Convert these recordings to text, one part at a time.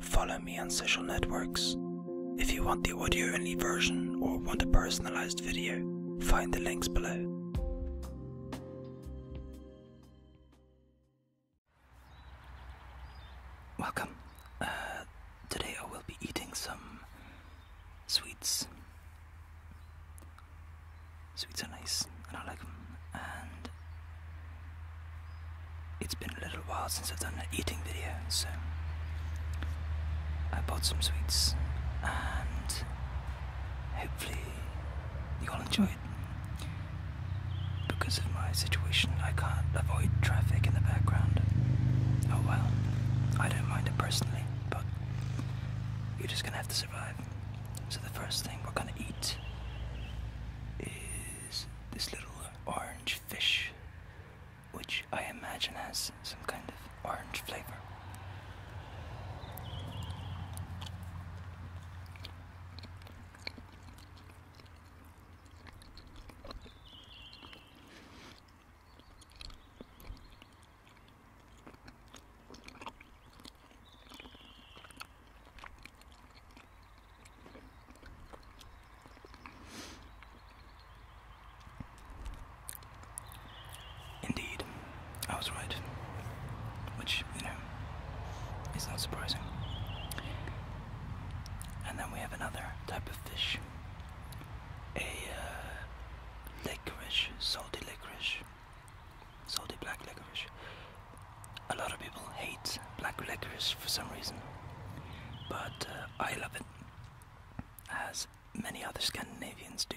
Follow me on social networks. If you want the audio only version or want a personalized video, find the links below. Welcome. Uh, today I will be eating some sweets. Sweets are nice and I like them. It's been a little while since I've done an eating video, so I bought some sweets and hopefully you all enjoy it. Because of my situation, I can't avoid traffic in the background. Oh well, I don't mind it personally, but you're just gonna have to survive. So the first thing we're gonna eat is this little orange fish, which I imagine has some kind of orange flavor. Indeed, I was right. Which, you know, is not surprising. And then we have another type of fish a uh, licorice, salty licorice, salty black licorice a lot of people hate black licorice for some reason, but uh, I love it, as many other Scandinavians do.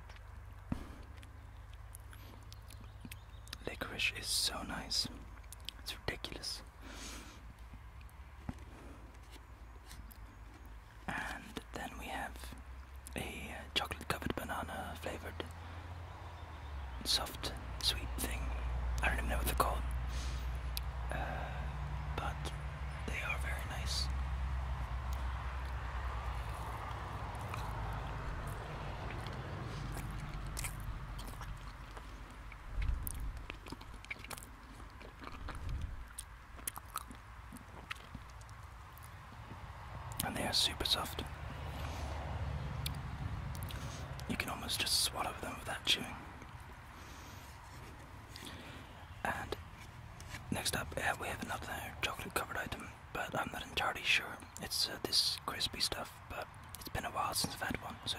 Licorice is so nice. It's ridiculous. And then we have a uh, chocolate covered banana flavored soft sweet thing. I don't even know what they're called. Uh, but they are very nice. And they are super soft. You can almost just swallow them without chewing. And next up, uh, we have another chocolate covered item but I'm not entirely sure. It's uh, this crispy stuff, but it's been a while since I've had one, so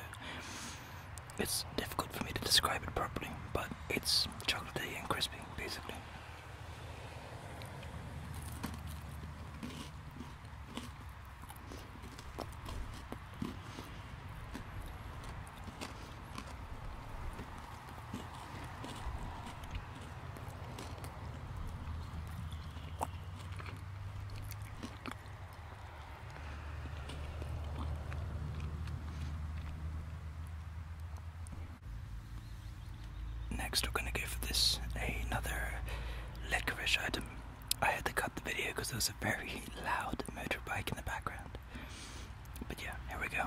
it's difficult for me to describe it properly. But it's chocolatey and crispy, basically. Next we're gonna give this another licorice item. I had to cut the video because there was a very loud motorbike in the background. But yeah, here we go.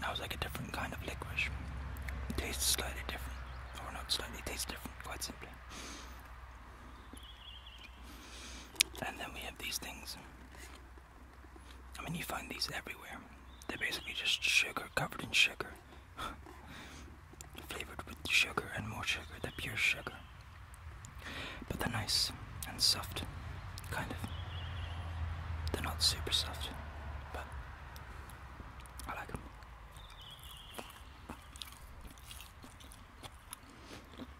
That was like a different kind of licorice. tastes slightly different. Or not slightly, tastes different, quite simply. And then we have these things. I mean, you find these everywhere. They're basically just sugar covered in sugar, flavored with sugar and more sugar. they pure sugar, but they're nice and soft, kind of. They're not super soft, but I like them.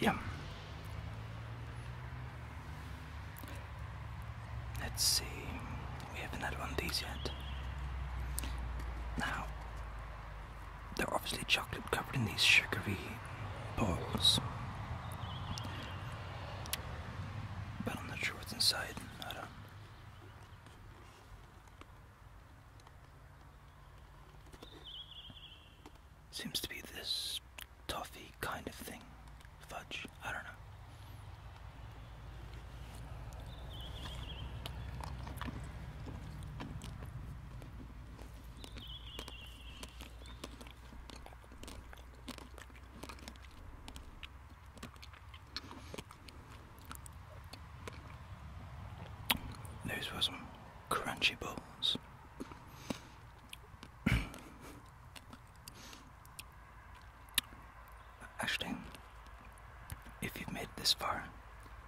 Yeah. Let's see, we haven't had one of these yet. Now, they're obviously chocolate covered in these sugary balls. But I'm not sure what's inside. I don't. Seems to be this toffee kind of thing. Fudge. I don't know. Those were some crunchy balls. Actually, if you've made this far,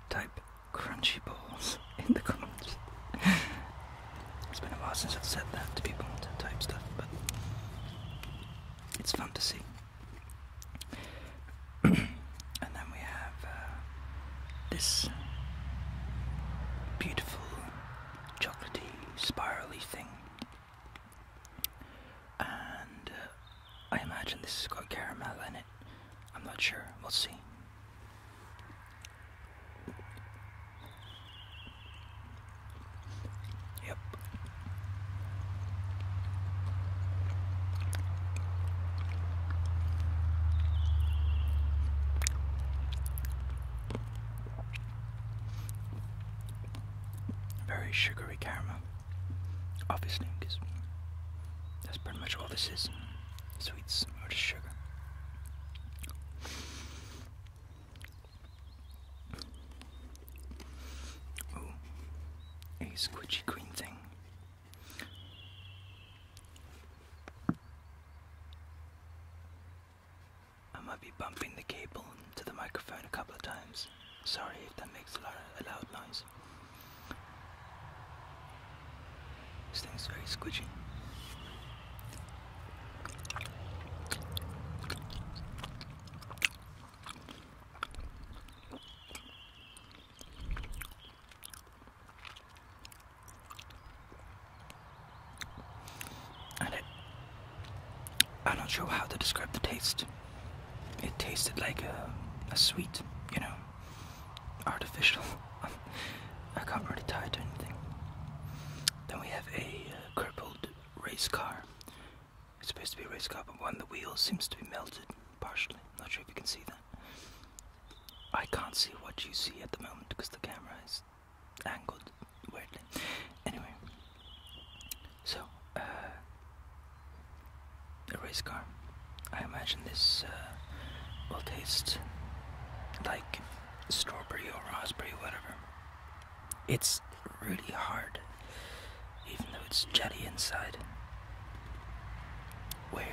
type crunchy balls in the comments. it's been a while since I've said that to people to type stuff, but it's fun to see. and then we have uh, this beautiful chocolatey spirally thing. And uh, I imagine this has got caramel in it. I'm not sure. We'll see. Yep. Very sugary caramel obviously, that's pretty much all this is. Sweets or just sugar. Ooh, a squidgy green thing. I might be bumping the cable to the microphone a couple of times. Sorry if that makes a loud noise this. thing is very squishy, And it, i do not know how to describe the taste. It tasted like a sweet, you know, um, artificial. I can't really tie it to anything. Then we have a uh, crippled race car. It's supposed to be a race car, but one of the wheels seems to be melted partially. Not sure if you can see that. I can't see what you see at the moment because the camera is angled weirdly. Anyway, so uh, a race car. I imagine this uh, will taste like strawberry or raspberry, whatever. It's really hard, even though it's jetty inside. Weird.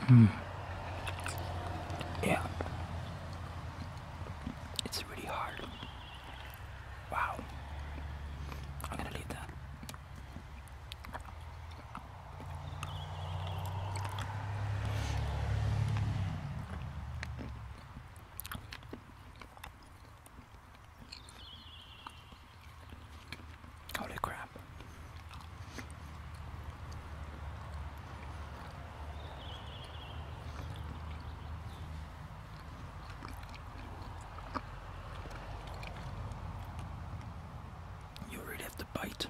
Mm. Yeah. It's really hard. Wow. I'm gonna leave that. Holy crap. You already have to bite.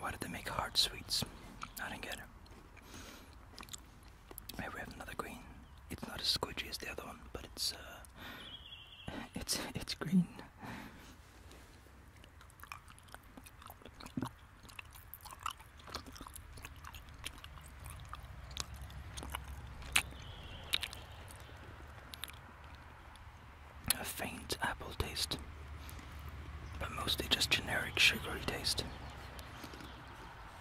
Why did they make hard sweets? I didn't get it. Here we have another green. It's not as squidgy as the other one, but it's uh, it's it's green. A faint apple taste, but mostly just generic sugary taste.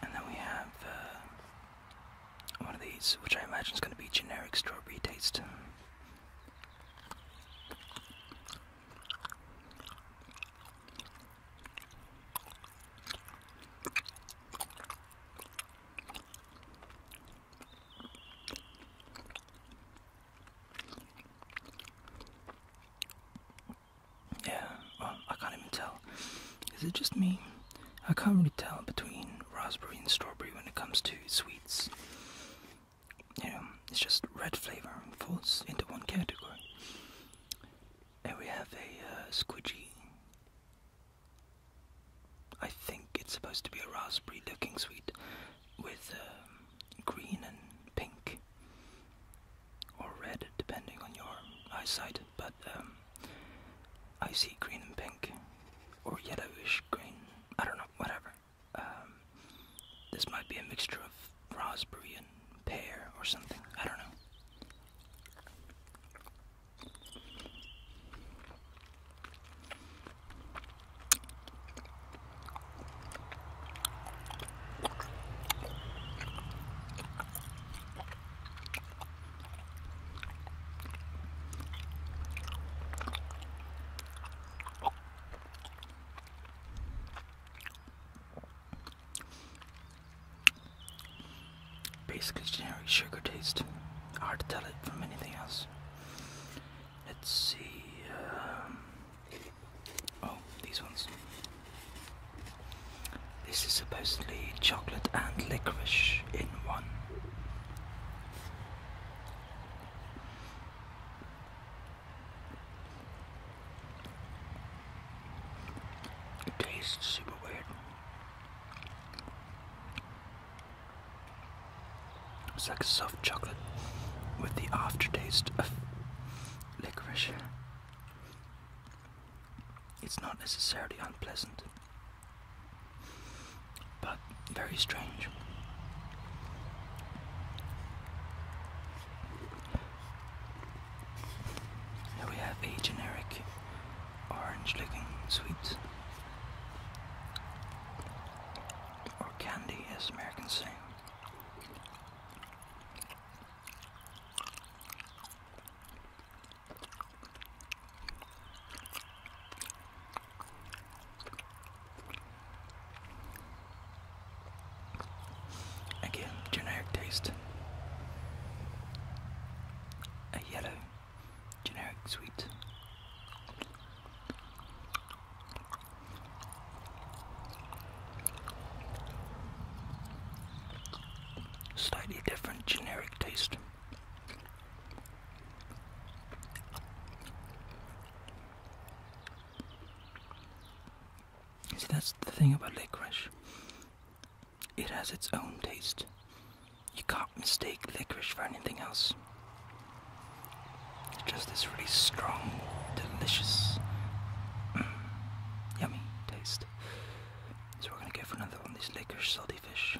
And then we have uh, one of these, which I imagine is going to be generic strawberry taste. Yeah, well, I can't even tell. Is it just me? I can't really tell between raspberry and strawberry when it comes to sweets. You know, it's just red flavor falls into one category. And we have a uh, squidgy. I think it's supposed to be a raspberry looking sweet with um, green and pink or red depending on your eyesight, but um, I see green and pink or yellowish green, I don't know, whatever. Um, this might be a mixture of with raspberry and pear or something. I don't know. Basically generic sugar taste. Hard to tell it from anything else. Let's see. Um, oh, these ones. This is supposedly chocolate and licorice in one. It tastes super weird. It's like soft chocolate with the aftertaste of licorice. It's not necessarily unpleasant, but very strange. Here we have a generic orange looking sweet. Or candy as Americans say. Again, generic taste. A yellow, generic sweet. Slightly different generic taste. See, that's the thing about licorice. It has its own taste. You can't mistake licorice for anything else. It's just this really strong, delicious, mm, yummy taste. So we're gonna go for another one, these licorice salty fish.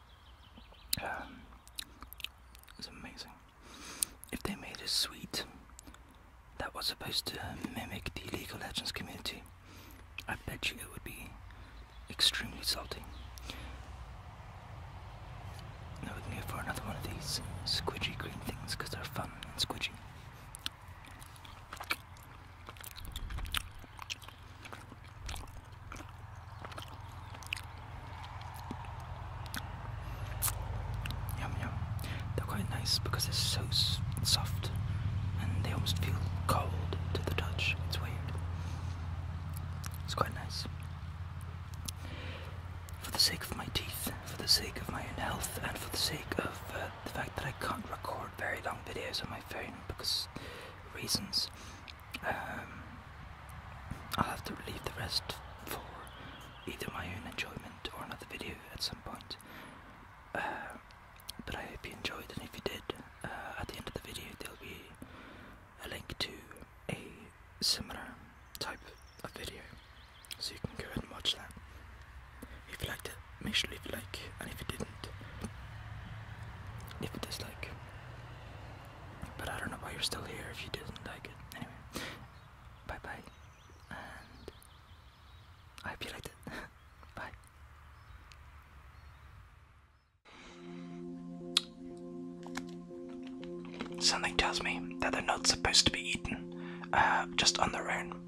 Um, it's amazing. If they made a suite that was supposed to mimic the League of Legends community, I bet you it would be extremely salty. Now we can go for another one of these squidgy green things because they're fun and squidgy. Yum yum. They're quite nice because they're so soft and they almost feel cold to the touch. It's weird. It's quite nice. For the sake of my teeth, for the sake of my own health, and for the sake of uh, the fact that I can't record very long videos on my phone because reasons. Um, I'll have to leave the rest for either my own enjoyment or another video at some point. Uh, but I hope you enjoyed, and if you did, uh, at the end of the video there'll be a link to a similar type of video, so you can go and watch that. If you liked it, make sure to leave a like, and if you didn't, leave a dislike. But I don't know why you're still here if you didn't like it. Anyway, bye bye. And I hope you liked bye. Something tells me that they're not supposed to be eaten uh, just on their own.